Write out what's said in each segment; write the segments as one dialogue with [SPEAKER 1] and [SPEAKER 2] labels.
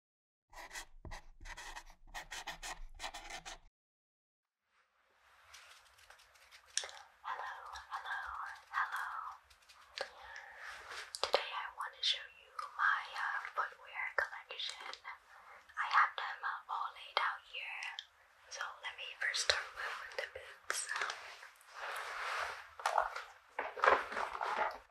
[SPEAKER 1] Hello, hello, hello. Today I want to show you my uh, footwear collection. I have them uh, all laid out here. So let me first start with the boots.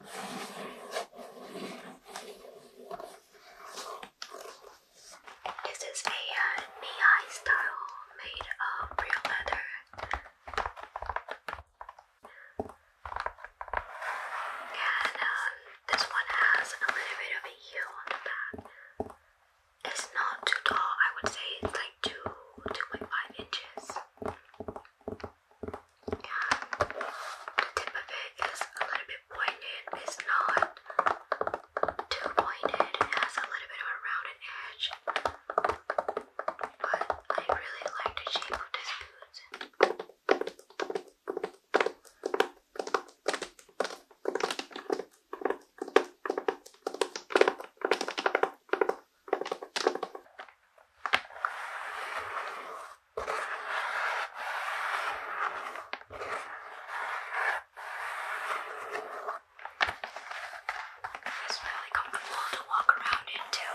[SPEAKER 1] This is a uh, style made of real leather. And um, this one has a little bit of a heel on the back. It's not too tall, I would say it's like 2 2.5 inches the tip of it is a little bit pointed. It's not too pointed. It has a little bit of a rounded edge. But I really like the shape of this boots. It's really comfortable to walk around in too.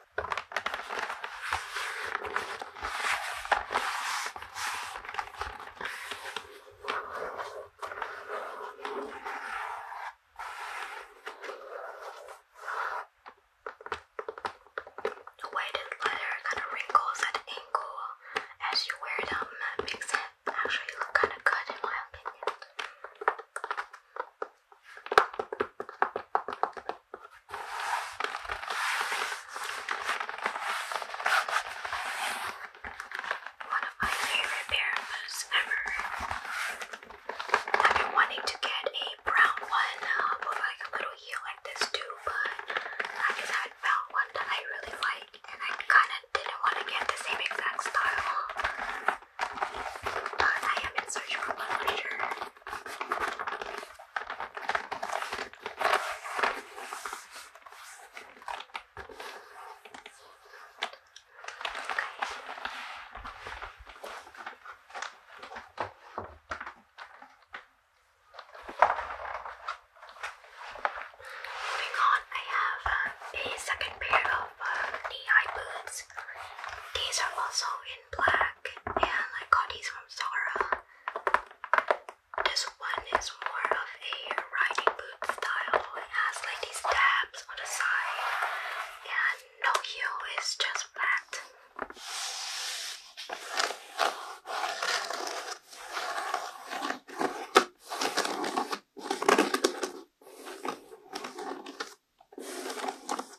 [SPEAKER 1] The weighted leather kind of wrinkles at the ankle as you wear them makes it actually look kind of good in my opinion. One of my favorite pair of boots ever. I've been wanting to get a brown one uh, with like a little heel like this too, but I just had found one that I really liked and I kind of didn't want to get the same exact style. But I am in search for one for sure. Moving on, I have a second pair of uh, knee-high boots. These are also in black and I these from Zara. This one is more of a riding boot style. It has like these tabs on the side, and no heel, it's just flat.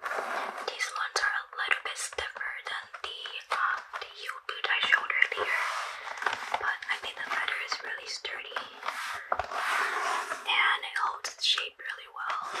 [SPEAKER 1] These ones are a little bit stiffer than the um, the heel boot I showed earlier, but I think the leather is really sturdy and it holds its shape really well.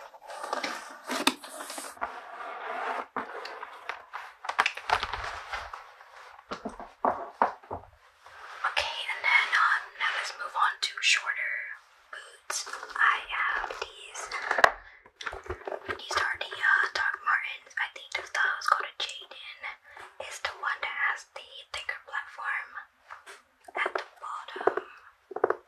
[SPEAKER 1] Okay, and then um, now let's move on to shorter boots. I have these. These are uh, Doc Martens. I think the style is Jaden. It's the one that has the thicker platform at the bottom.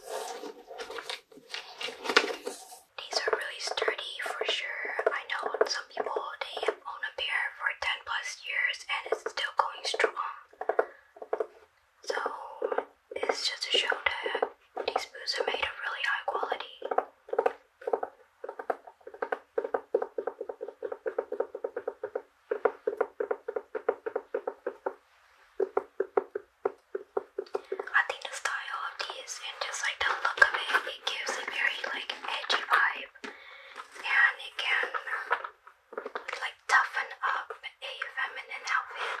[SPEAKER 1] These are really sturdy for sure. I know some people they own a pair for 10 plus years and it's still going strong. So it's just a show that these boots are made of really high quality. I think the style of these and just like the look of it, it gives a very like edgy vibe, and it can like toughen up a feminine outfit.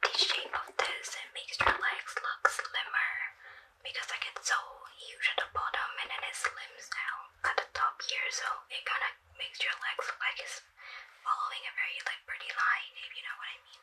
[SPEAKER 1] the shape of this, it makes your legs look slimmer because I get so huge at the bottom and then it slims down at the top here, so it kind of makes your legs look like it's following a very like pretty line, if you know what I mean.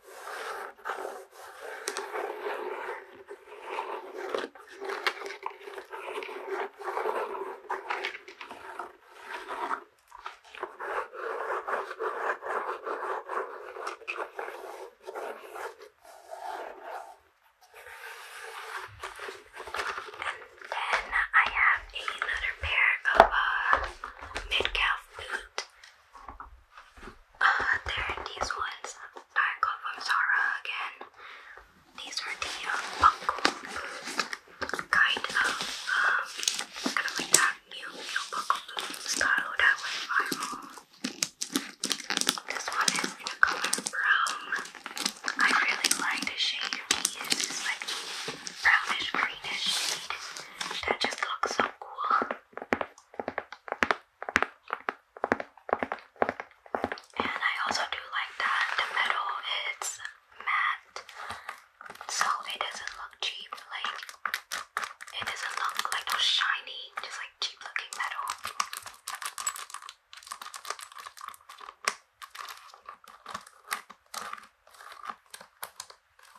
[SPEAKER 1] Then I have another pair of uh, mid-calf boot uh, there these ones I got from Zara again. These are the buckle uh, kind of, um, kind of like that new, new buckle style that went viral. This one is in the color brown. I really like the shade of these. It's like brownish greenish shade that just looks so cool. And I also do like that the metal is matte, so it doesn't look cheap. Like it doesn't look like those shiny, just like cheap looking metal.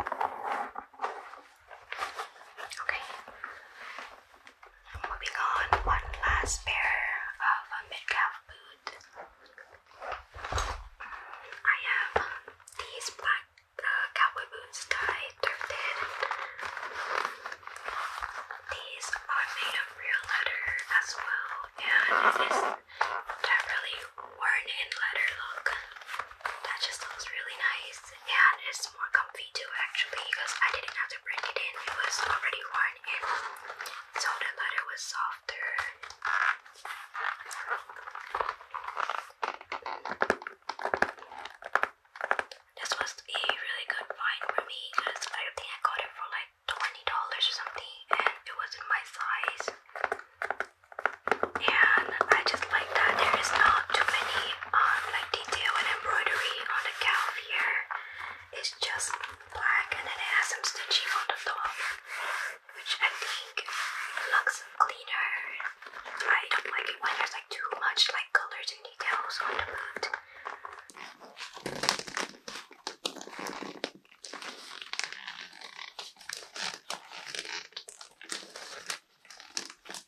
[SPEAKER 1] Okay. Moving on, one last pair of a mid-calf boot. I have these black uh, cowboy boots that I thrifted. These are made of real leather as well, and it's that worn-in leather look that just looks really nice and it's more comfy too actually because I didn't have to bring it in, it was already worn in so the leather was softer this was a really good find for me because I think I got it for like $20 or something and it was in my size and I just like that there is not too many um, like detail and embroidery on the calf here. It's just black and then it has some stitching on the top, which I think looks cleaner. I don't like it when there's like too much like colors and details on the boot. I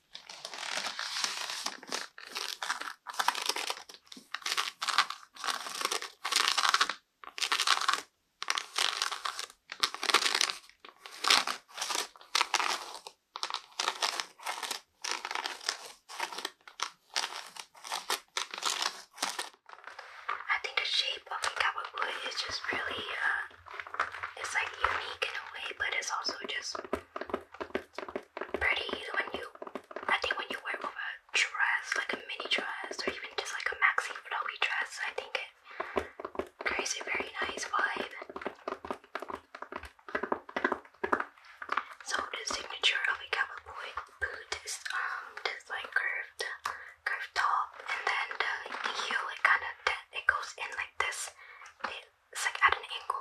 [SPEAKER 1] think the shape of a cowboy is just really uh, it's like unique in a way, but it's also just pretty when you, I think when you wear it a dress, like a mini dress, or even just like a maxi flowy dress, I think it creates a very nice vibe. So the signature of a cowboy boot is um this like curved curved top and then the heel it kinda it goes in like this. It's like at an angle.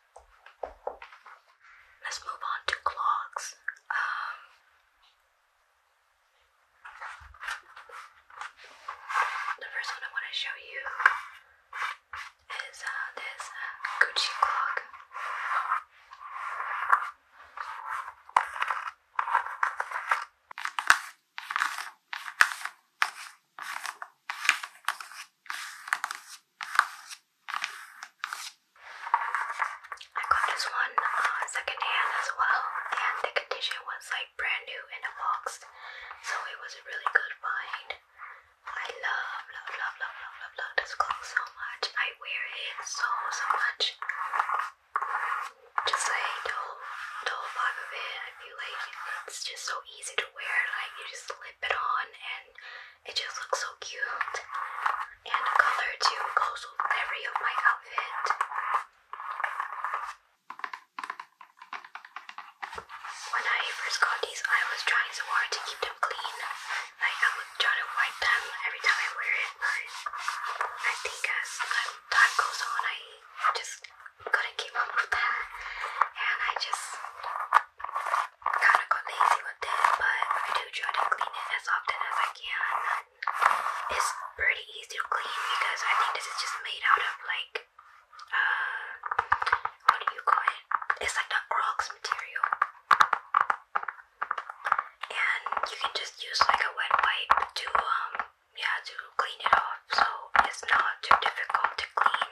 [SPEAKER 1] Let's move on to clocks. Um, the first one I want to show you is uh, this uh, Gucci clog. I got this one uh, second hand as well, and the condition was like brand new in a box, so it was a really good find. I love, love, love, love, love, love, love this clock so much. I wear it so, so much. Just like the the vibe of it. I feel like it's just so easy to wear. Like you just slip it on and it just looks so cute. And the color too goes with every of my outfit. When I first got these, I was trying so hard to keep them clean. Like I would try to wipe them every time I wear it, but I think as time goes on, I just couldn't keep up with that, and I just Kinda got lazy with it, but I do try to clean it as often as I can. It's pretty easy to clean because I think this is just made out of like, uh, what do you call It's like the Crocs material. And you can just use like a wet wipe to, um, yeah, to clean it off. So it's not too difficult to clean.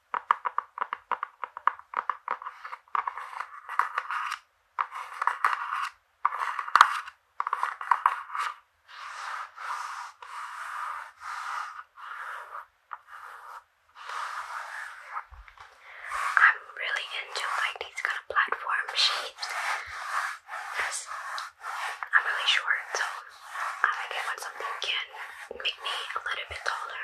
[SPEAKER 1] I'm really into like these kind of platform shapes because I'm really short, so I like it when something can make me a little bit taller.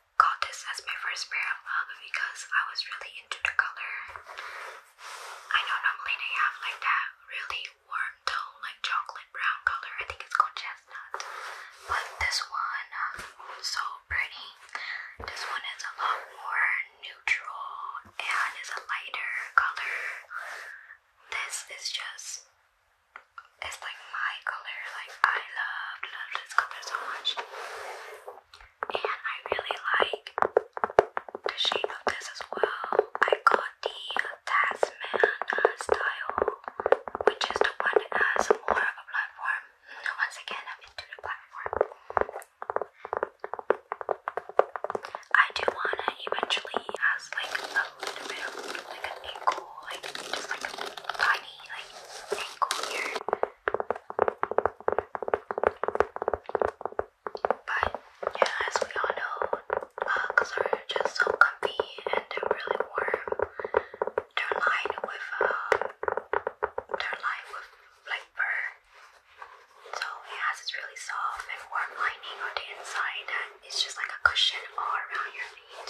[SPEAKER 1] got this as my first pair of love because I was really into the color. I know normally they have like that really warm tone, like chocolate brown color. I think it's called chestnut. But this one, uh, so pretty. This one is a lot more neutral and is a lighter color. This is just it's like my color. Like I love love this color so much, and I really like the shape of this as well. I got the Tasman style, which is the one that has more of a platform. once again, I'm into platform. I do wanna eventually has like a little bit of like an ankle, like just like a tiny like tangle But yeah, as we all know, mugs are just so comfy and they're really warm. They're lined with um, they're lined with like fur, so it has this really soft and warm lining on the inside, and it's just like a cushion all around your feet.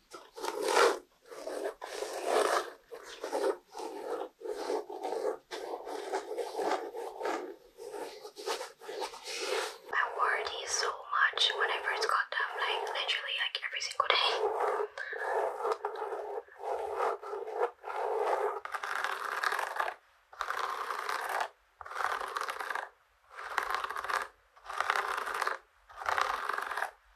[SPEAKER 1] I worry so much whenever it's got down, like literally like every single day.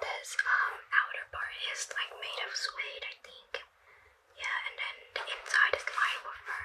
[SPEAKER 1] This um outer part is like made of suede, I think. Yeah, and then the inside is lined with fur.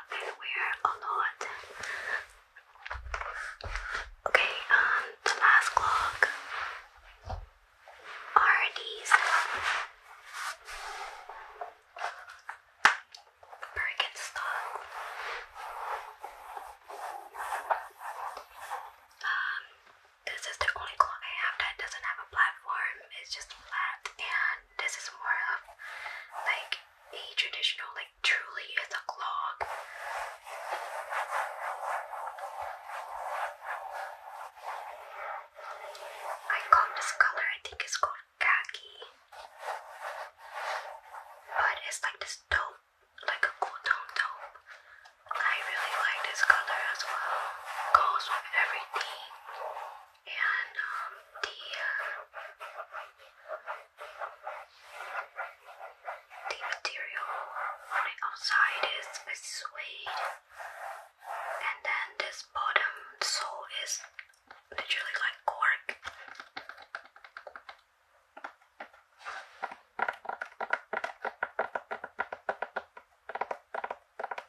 [SPEAKER 1] We're to a lot. Okay, um, the last clock are these Birkenstock. Um, this is the only clock I have that doesn't have a platform. It's just flat and this is more of like a traditional, like truly it's a clog. I call this color, I think it's called khaki. But it's like this dope, like a cool tone dope. I really like this color as well. Goes with everything and um, the uh, the material on the outside is a suede, and then this bottom sole is literally like cork.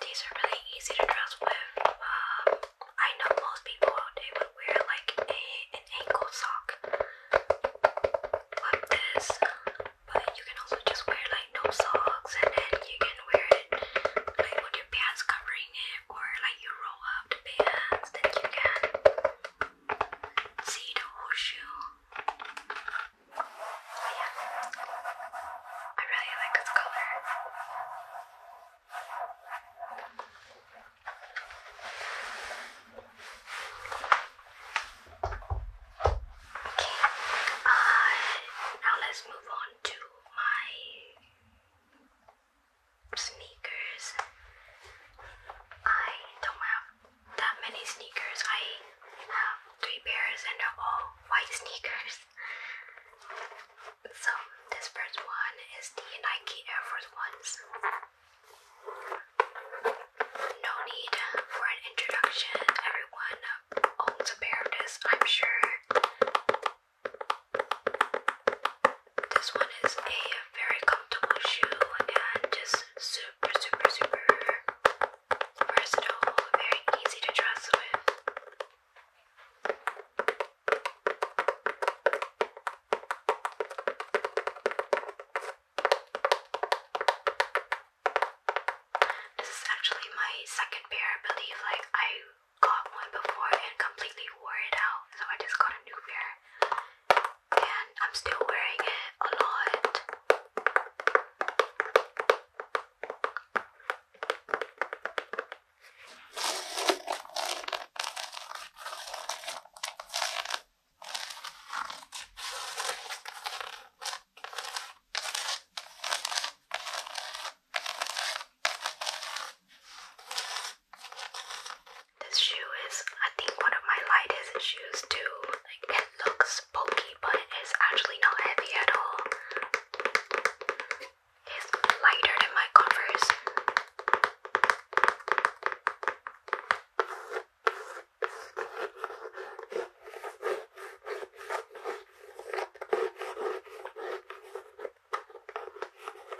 [SPEAKER 1] These are really easy to dress with. Um, I know most people they would wear like a, an ankle sock like this, but you can also just wear like no socks, and then you can wear it like with your pants covering it, or like you roll up the pants, then you can cedar horseshoe. Oh, yeah, I really like this color. Okay, uh, now let's move on to my sneakers. I don't have that many sneakers. I have three pairs and they're all white sneakers. So this first one is the Nike Air Force Ones. No need for an introduction. Everyone owns a pair of this, I'm sure. This one is a very comfortable shoe and just super, super, super versatile, very easy to dress with. This is actually my second pair, I believe. Like, I got one before and completely wore it out, so I just got a new pair and I'm still wearing it a lot. This shoe is, I think, one of my lightest shoes too. it looks bulky, but it is actually not heavy at all. It's lighter than my Converse.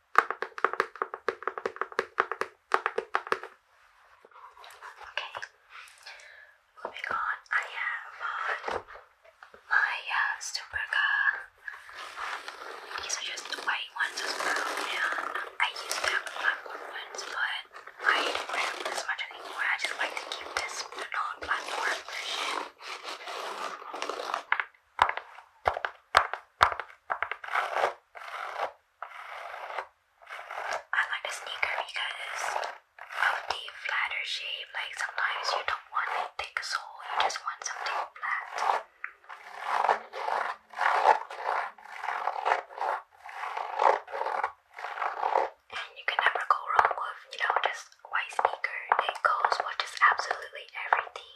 [SPEAKER 1] Okay, moving on. I have on my uh, These are just white ones as well, I used to have black ones, but I don't wear as much anymore. I just like to keep this non-platform version. I like the sneaker because of the flatter shape. Like sometimes you don't want a thick sole, you just want something flat. And you can never go wrong with, you know, just white sneaker. It goes with just absolutely everything.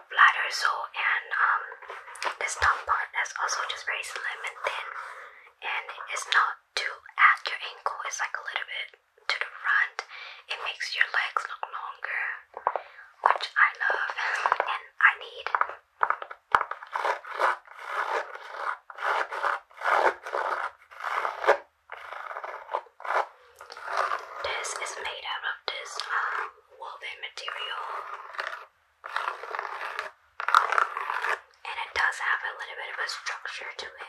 [SPEAKER 1] bladder sole and um, this tampon is also just very slim and thin and it's not too at your ankle, it's like a little bit to the front. It makes your legs look longer, which I love and I need. This is made out of this um, woven material. And it does have a little bit of a structure to it.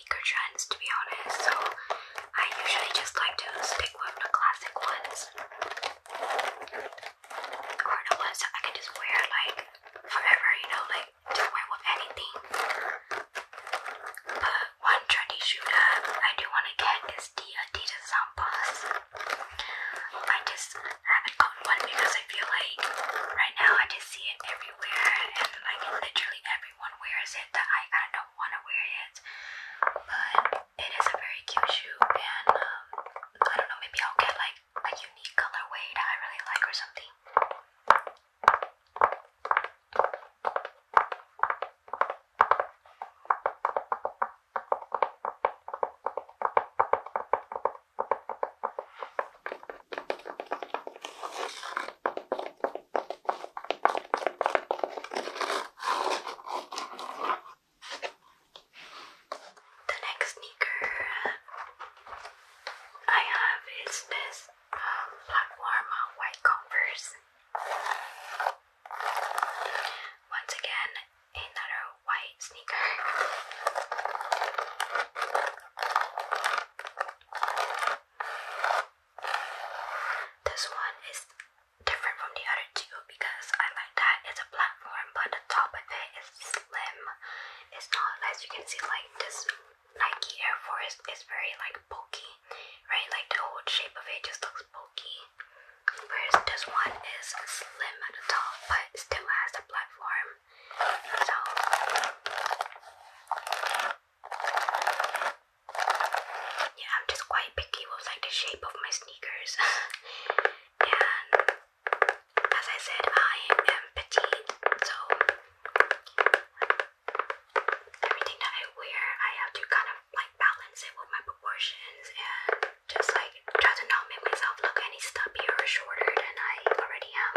[SPEAKER 1] trends to be honest, so I usually just like to stick with the classic ones. Or the ones that I can just wear like forever, you know, like to wear with anything. But one trendy shoe that I do want to get is the Adidas Sambas. I just haven't gotten one because I feel like right now I just see it everywhere and like literally everywhere everyone wears it that I kind of don't want to wear it. But it is a very cute shoe, and um, I don't know, maybe I'll get like a unique colorway that I really like or something. The next sneaker I have is this um, platform white Converse. Once again, another white sneaker. This one is different from the other two because I like that it's a platform, but the top of it is slim. It's not, as you can see, like this Nike Air Force is very like bulky, right? Like the whole shape of it just looks bulky. Whereas this one is slim at the top, but still has a platform. So yeah, I'm just quite picky with like the shape of my sneakers. and as I said, I am um, petite, so everything that I wear, I have to kind of like balance it with my proportions and just like try to not make myself look any stubbier or shorter than I already am.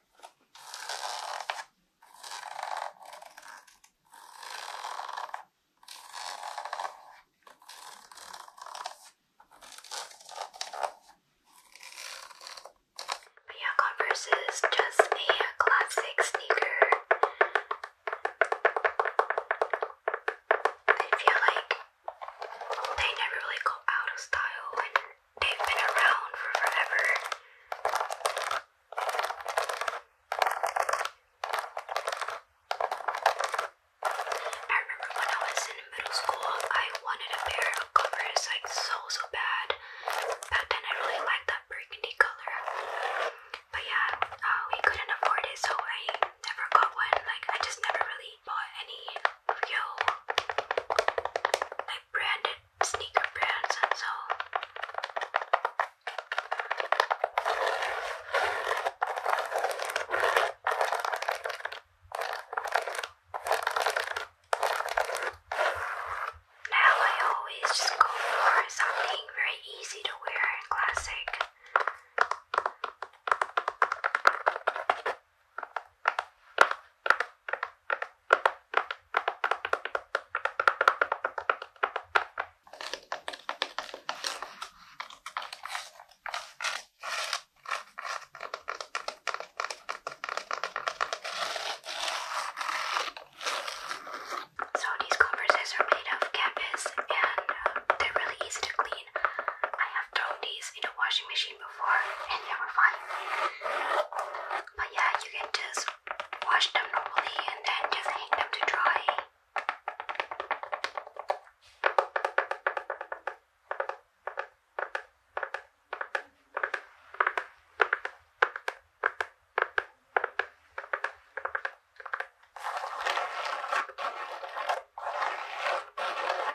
[SPEAKER 1] Yeah, Converse is just a classic sneaker. I feel like they never really go out of style they've been around for forever. I remember when I was in middle school, I wanted a pair of covers like so so bad. Back then, I really liked that burgundy color. But yeah, uh, we couldn't afford it, so I never got one. Like I just never really actually bought any real like branded sneaker brands and so now I always just go for something very easy to wear and classic. So these converses are made of canvas and um, they're really easy to clean. Throw these in the washing machine before and they were fine. But yeah, you can just wash them normally and then just hang them to dry.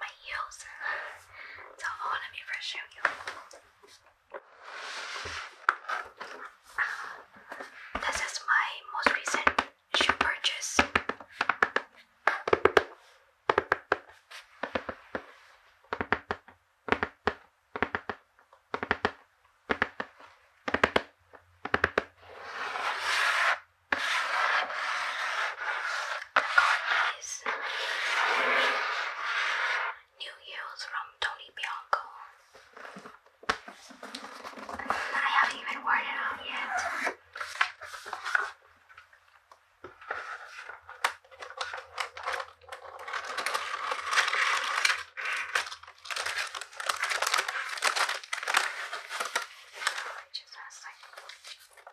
[SPEAKER 1] my heels. So, oh, let me show you. Uh, this is my most recent shoe purchase got these new heels from Tony Bianco. I haven't even worn it out yet. It just has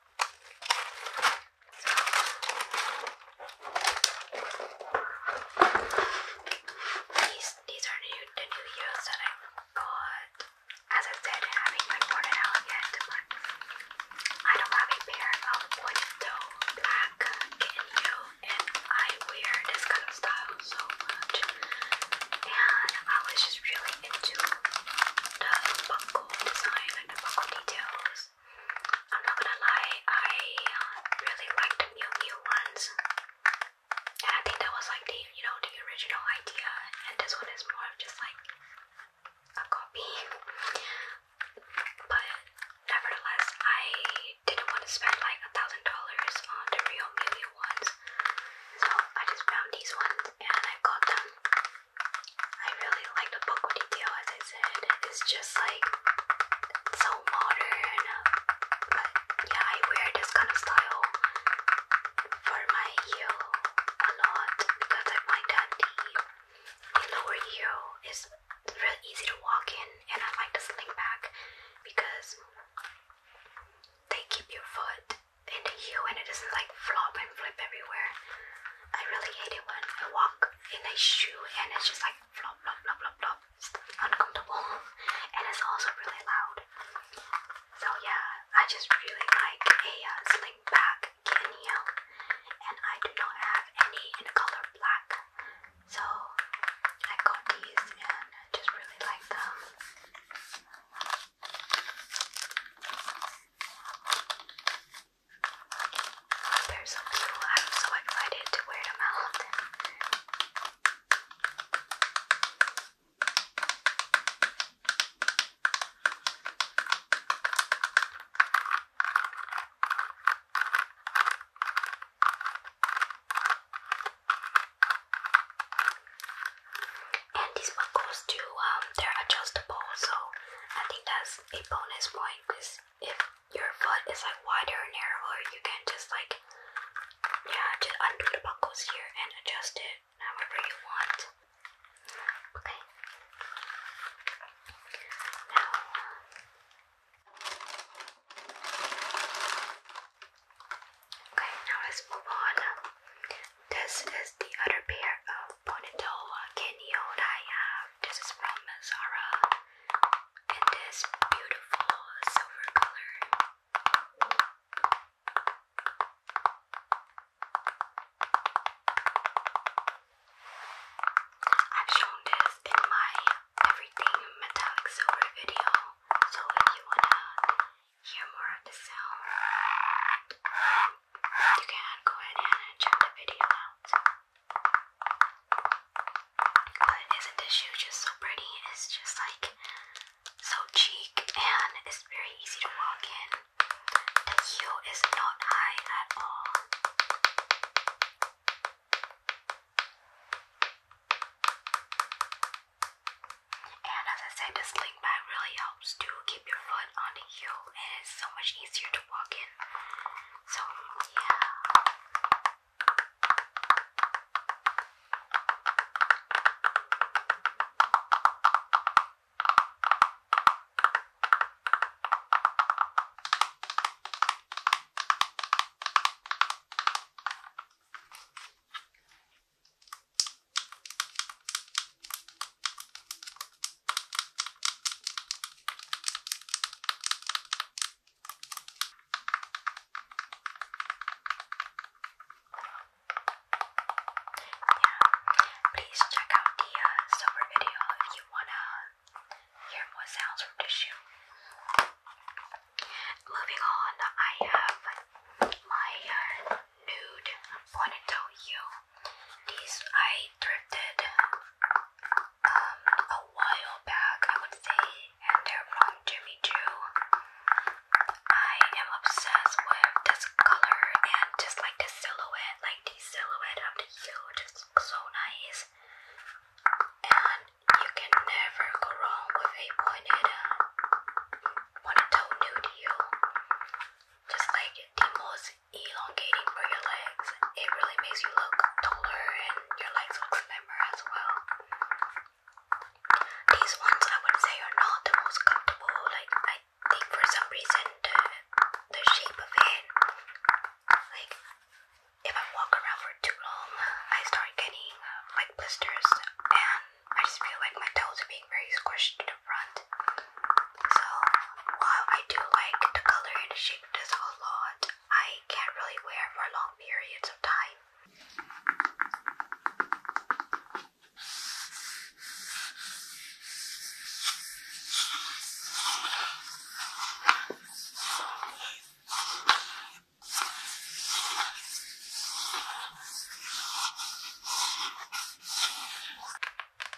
[SPEAKER 1] These these are new, the new heels that I got. As I said, having not bought it out yet, but I do have a pair of window black kitten and I wear this kind of style so much. And I was just really into the buck design and the buckle details. I'm not gonna lie, I really liked the Mew Mew ones. I think that was like the, you know, the original idea. And this one is more of just like a copy. But nevertheless, I didn't want to spend like a thousand dollars on the real Mew ones. So I just found these ones and I got them. I really like the Poco detail, as I said. It's just like so modern. But yeah, I wear this kind of style for my heel a lot because I find that the lower heel is really easy to walk in, and I like the sling back because they keep your foot in the heel and it doesn't like flop and flip everywhere. I really hate it when I walk in a shoe and it's just like flop, flop, flop, flop, flop. It's uncomfortable and it's also really loud. So yeah, I just really like a uh, Kenya and I do not have any in color black. So I got these and just really like them. There's a few, I'm so excited to wear them out. And these buckles too um, they're adjustable, so I think that's a bonus point because if your foot is like wider or narrower, you can just like yeah, just undo the buckles here and adjust it however you want. Okay. Uh, okay, now let's move on. This is the other pair of ponytail canyons I have. Uh, this is from Zara and this beautiful silver color. I've shown this in my everything metallic silver video, so if you wanna hear more of the sound, you can go ahead and check the video out. But isn't this shoe just so pretty? It's just like so cheap and it's very easy to walk in. The heel is not high at all. And as I said, this it really helps to keep your foot on the heel, and it's so much easier to walk in. So, yeah please check out the uh, video if you wanna hear more sounds from this shoe. Moving on, I have my uh, nude. I'm gonna tell you, these I thrifted um, a while back, I would say, and they're from Jimmy Choo. I am obsessed with this color and just like the silhouette, like the silhouette of the heel just so nice. And you can never go wrong with a pointed, pointed uh, toe nude heel just like the most elongating for your legs. It really makes you look taller and your legs look slimmer as well. These ones I would say are not the most comfortable. Like I think for some reason the shape of it, like if I walk around for too long, I start getting uh, like blisters, and I just feel like my toes are being very squished so while I do like the color and the shape of this a lot, I can't really wear for long periods of time.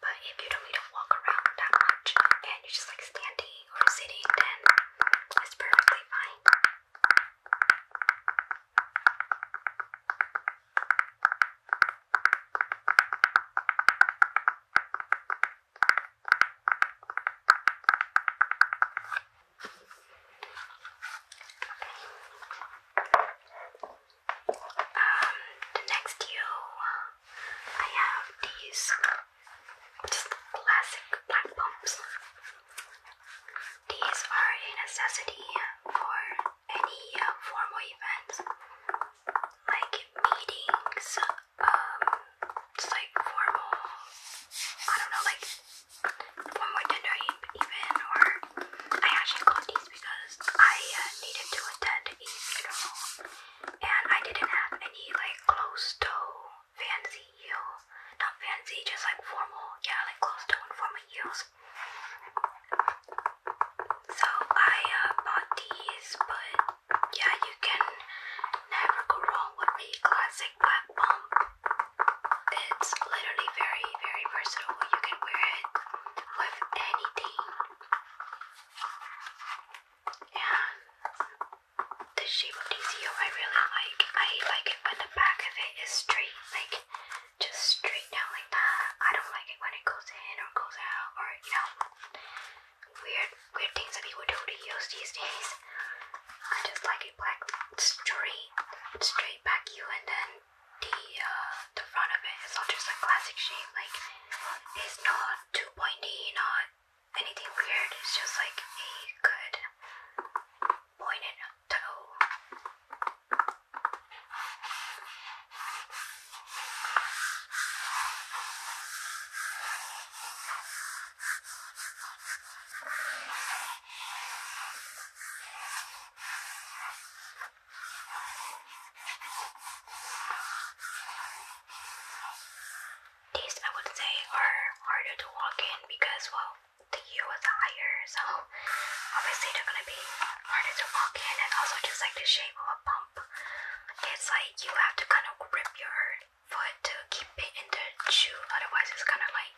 [SPEAKER 1] But if you don't need to walk around that much and you're just like standing or sitting, then it's perfectly fine. Um, next you I have these just classic black pumps. These are a necessity for any formal events like meetings, um, just like formal, I don't know, like formal dinner even, or I actually got these because I uh, needed to attend a funeral and I didn't have any like close to fancy heel. Not fancy, just like formal. Yeah, like close to formal heels. So I uh, bought these, but yeah, you can never go wrong with the classic black pump. It's literally very, very versatile. You can wear it with anything. Yeah. The shape of DCO I really like. I like it when the back of it is straight, like just straight down like that. I don't like it when it goes in or goes out or you know weird weird things that people do to heels these days. I just like a black straight straight back you and then the uh the front of it is all just like classic shape like it's not too pointy, not anything weird, it's just like a good pointed toe. These I would say are harder to walk in because well the queue was higher, so obviously they're gonna be harder to walk in and also just like the shape of a pump. It's like you have to kind of grip your foot to keep it in the shoe, otherwise it's kind of like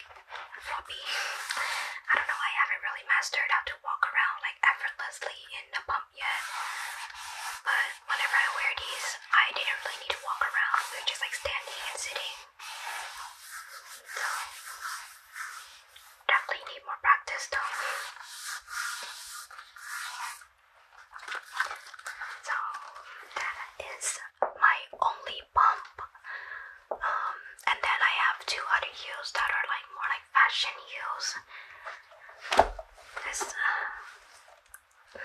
[SPEAKER 1] floppy. I don't know, I haven't really mastered how to walk around like effortlessly in the pump up yet. But whenever I wear these, I didn't really need to walk around. We were just like standing and sitting. So definitely need more practice, do So that is my only pump. Um, and then I have two other heels that are like more like fashion heels. This, uh,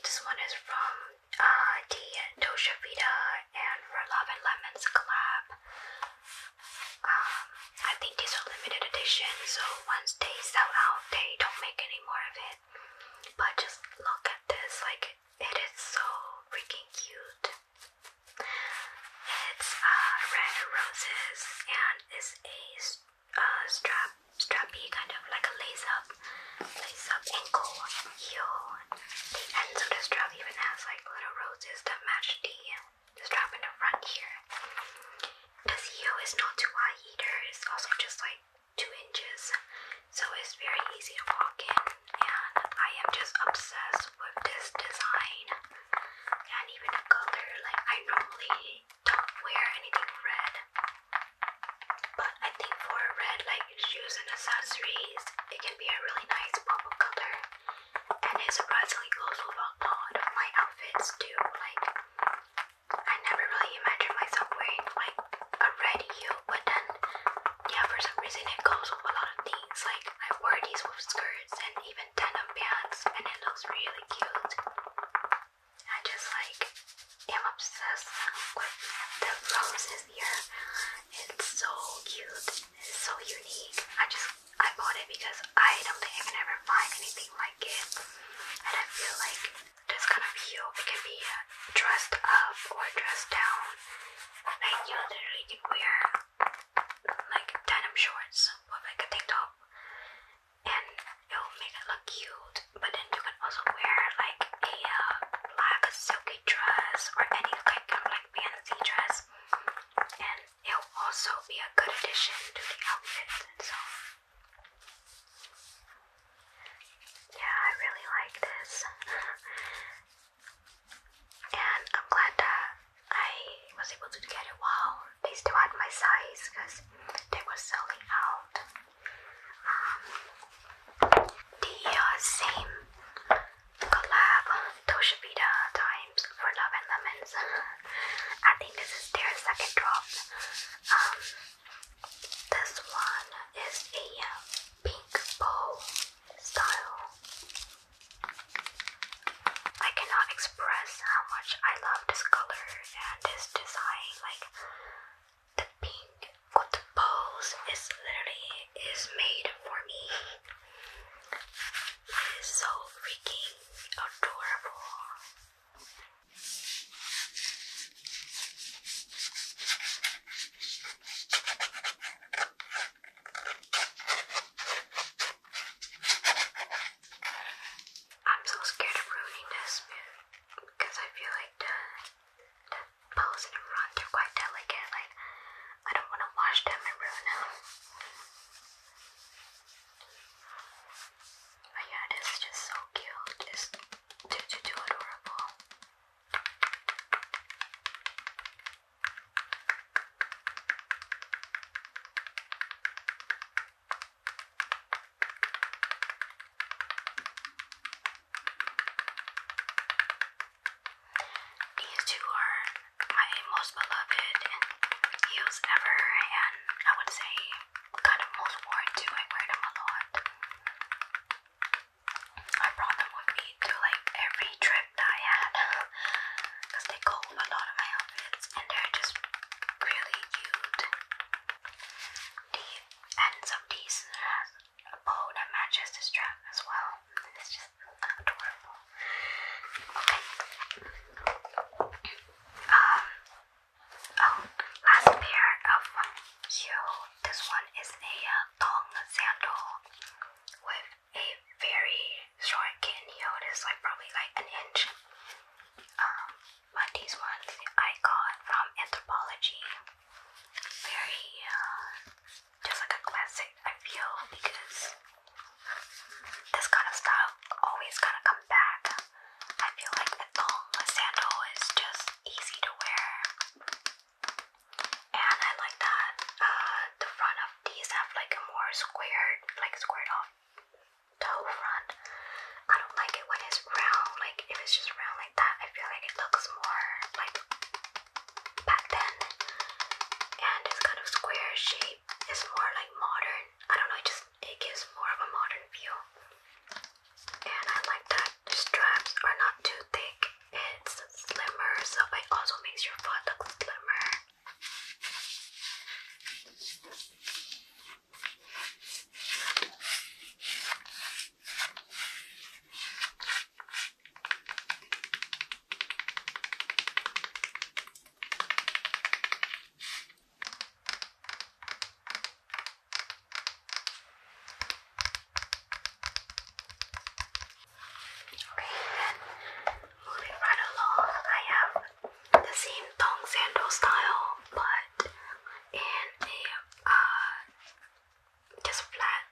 [SPEAKER 1] this one is from uh, the Dosha Vita and Red Love and Lemons collab. Um, I think these are limited edition, so once they sell out, they don't make any more of it. But just look at this, like it is so freaking cute. It's uh, red roses and is a uh, strap, strappy kind of like a lace up, lace up ankle heel. The ends of the strap even has like little roses that match the, the strap in the front here. This heel is not too wide either. It's also just like two inches, so it's very easy to walk in. And I am just obsessed with this design and even the color. Like I normally don't wear anything red. But I think for red, like shoes and accessories, it can be a really nice pop of color. And it surprisingly goes with a lot of my outfits too. Like, I never really imagined myself wearing like a red heel, but then, yeah, for some reason, it goes with a lot of things. Like, I wore these with skirts and even Denim pants and it looks really cute. I just like am obsessed with the roses here. It's so cute. It's so unique. I just I bought it because I don't think I can ever find anything like it. And I feel like this kind of heel it can be uh, dressed up or dressed down. Like you literally can wear like denim shorts with like a tank top and it will make it look cute. But then you can also wear like a uh, black silky dress or any like kind of fancy dress, and it will also be a good addition to the outfit. So yeah, I really like this, and I'm glad that I was able to get it while They still had my size because they were selling out. Um, the uh, same collab, Tosha Times for Love and Lemons. I think this is their second drop. Um, this one is a pink bow style. I cannot explain express how much I love this color and this design. Like the pink with the balls is literally is made for me. It is so freaking adorable. I'm so scared of ruining this because I feel like the, the bows and rods are quite delicate. Like, I don't want to wash them and ruin them. But yeah, this is just so cute. It's too, too, too adorable. These two are my most beloved heels ever, and I would say kind of most worn too. I wear them a lot. I brought them with me to like every trip that I had because they cold a lot of my and they're just really cute. The ends of these has a bow that matches the strap as well, it's just adorable. Okay. Um. Oh, last pair of heel. This one is a uh, sandal with a very short candy holders, like probably like an inch. Um, but these ones I got from Anthropology. Very, uh, just like a classic, I feel, because this kind of stuff always kind of come back. I feel like the thong, a sandal is just easy to wear. And I like that uh, the front of these have like a more squared, like squared off toe front. I don't like it when it's round. Like if it's just round like that, I feel like it looks more like back then. And this kind of square shape is more like modern. I don't know. It just it gives more of a modern feel. And I like that the straps are not too thick. It's slimmer, so it also makes your foot look slimmer. Okay, then moving right along, I have the same thong sandal style, but in a uh, just flat,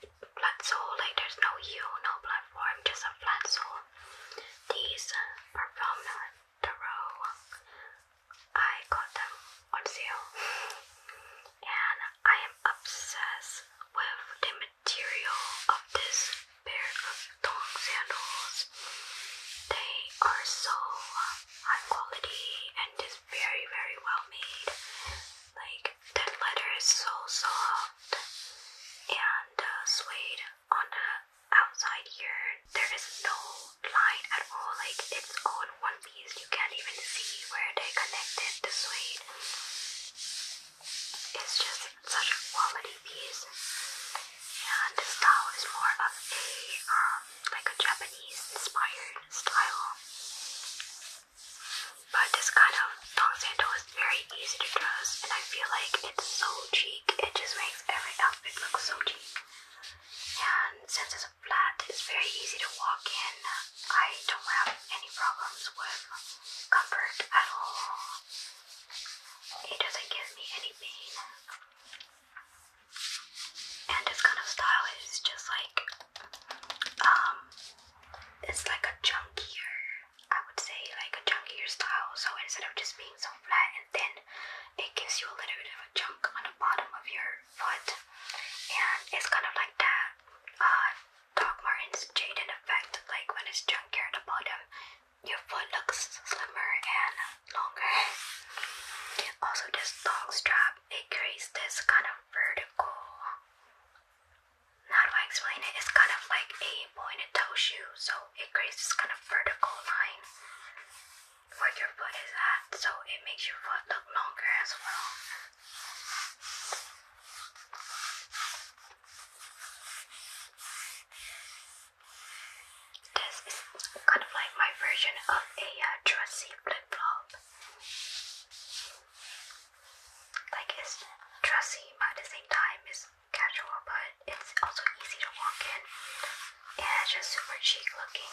[SPEAKER 1] flat sole. Like there's no heel, no platform, just a flat sole. These are from the row. I got them on sale, and I am obsessed with the material of this pair of thong sandals. They are so high quality and just very, very well made. Like, that leather is so soft and uh, suede on the outside here. There is no line at all, like, it's all one piece. You can't even see where they connected the suede. It's just such a quality piece. And the style is more of a um, like a Japanese inspired style. But this kind of thong sandal is very easy to dress and I feel like it's so chic. It just makes every outfit look so cheap. And since it's flat, it's very easy to walk in. I don't have any problems with comfort at all. It doesn't give me any pain. And this kind of style is just like, um, it's like a chunkier, I would say, like a chunkier style. So instead of just being so flat and thin, it gives you a little bit of a chunk on the bottom of your foot. And it's kind of like that uh, Doc Martens Jaden effect, like when it's chunkier at the bottom, your foot looks slimmer and longer. Also, this long strap it this kind of vertical. How do I explain it? It's kind of like a pointed toe shoe, so it creates this kind of vertical line where your foot is at, so it makes your foot look longer as well. This is kind of like my version of a uh, dressy flip flop. Like it's dressy, but at the same time it's casual, but it's also easy to walk in. And it's just super chic looking.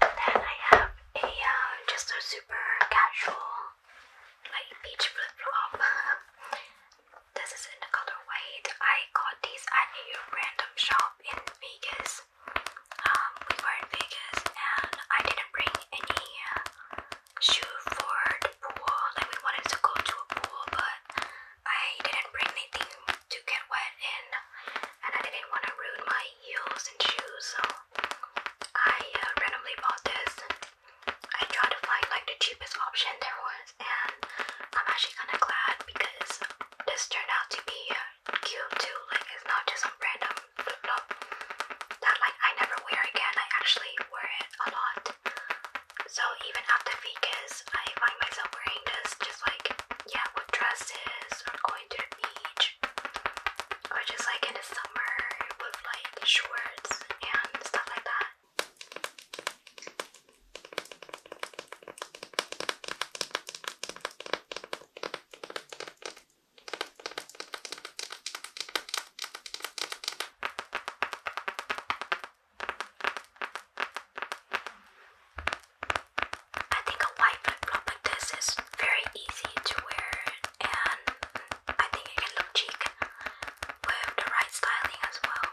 [SPEAKER 1] Then I have a uh, just a super casual like beach flip flop. this is in the color white. I got these at a random shop in Vegas. Um, we were in Vegas and I didn't bring any uh, shoe for the pool. Like we wanted to go to a pool, but I didn't bring anything to get wet in, and I didn't want to ruin my heels and shoes, so I uh, randomly bought this. I tried to find like the cheapest option there was, and I'm actually kind of glad because this turned out to be uh, cute too. Like it's not just some random flip that like I never wear again. I actually wear it a lot. So even after Vegas, I find myself wearing this just like yeah, with dresses or going to the beach or just like in the summer with like shorts and stuff like that. I think a white flip flop like this is very easy to wear, and I think it can look chic with the right styling as well.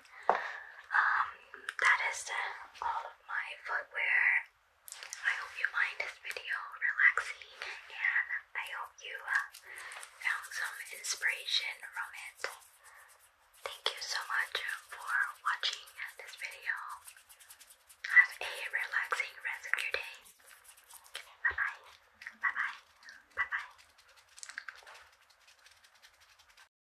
[SPEAKER 1] Um, that is all of my footwear. I hope you find this video relaxing and I hope you uh, found some inspiration from it. Thank you so much for watching this video. Have a relaxing rest of your day. Bye bye. Bye bye. Bye bye.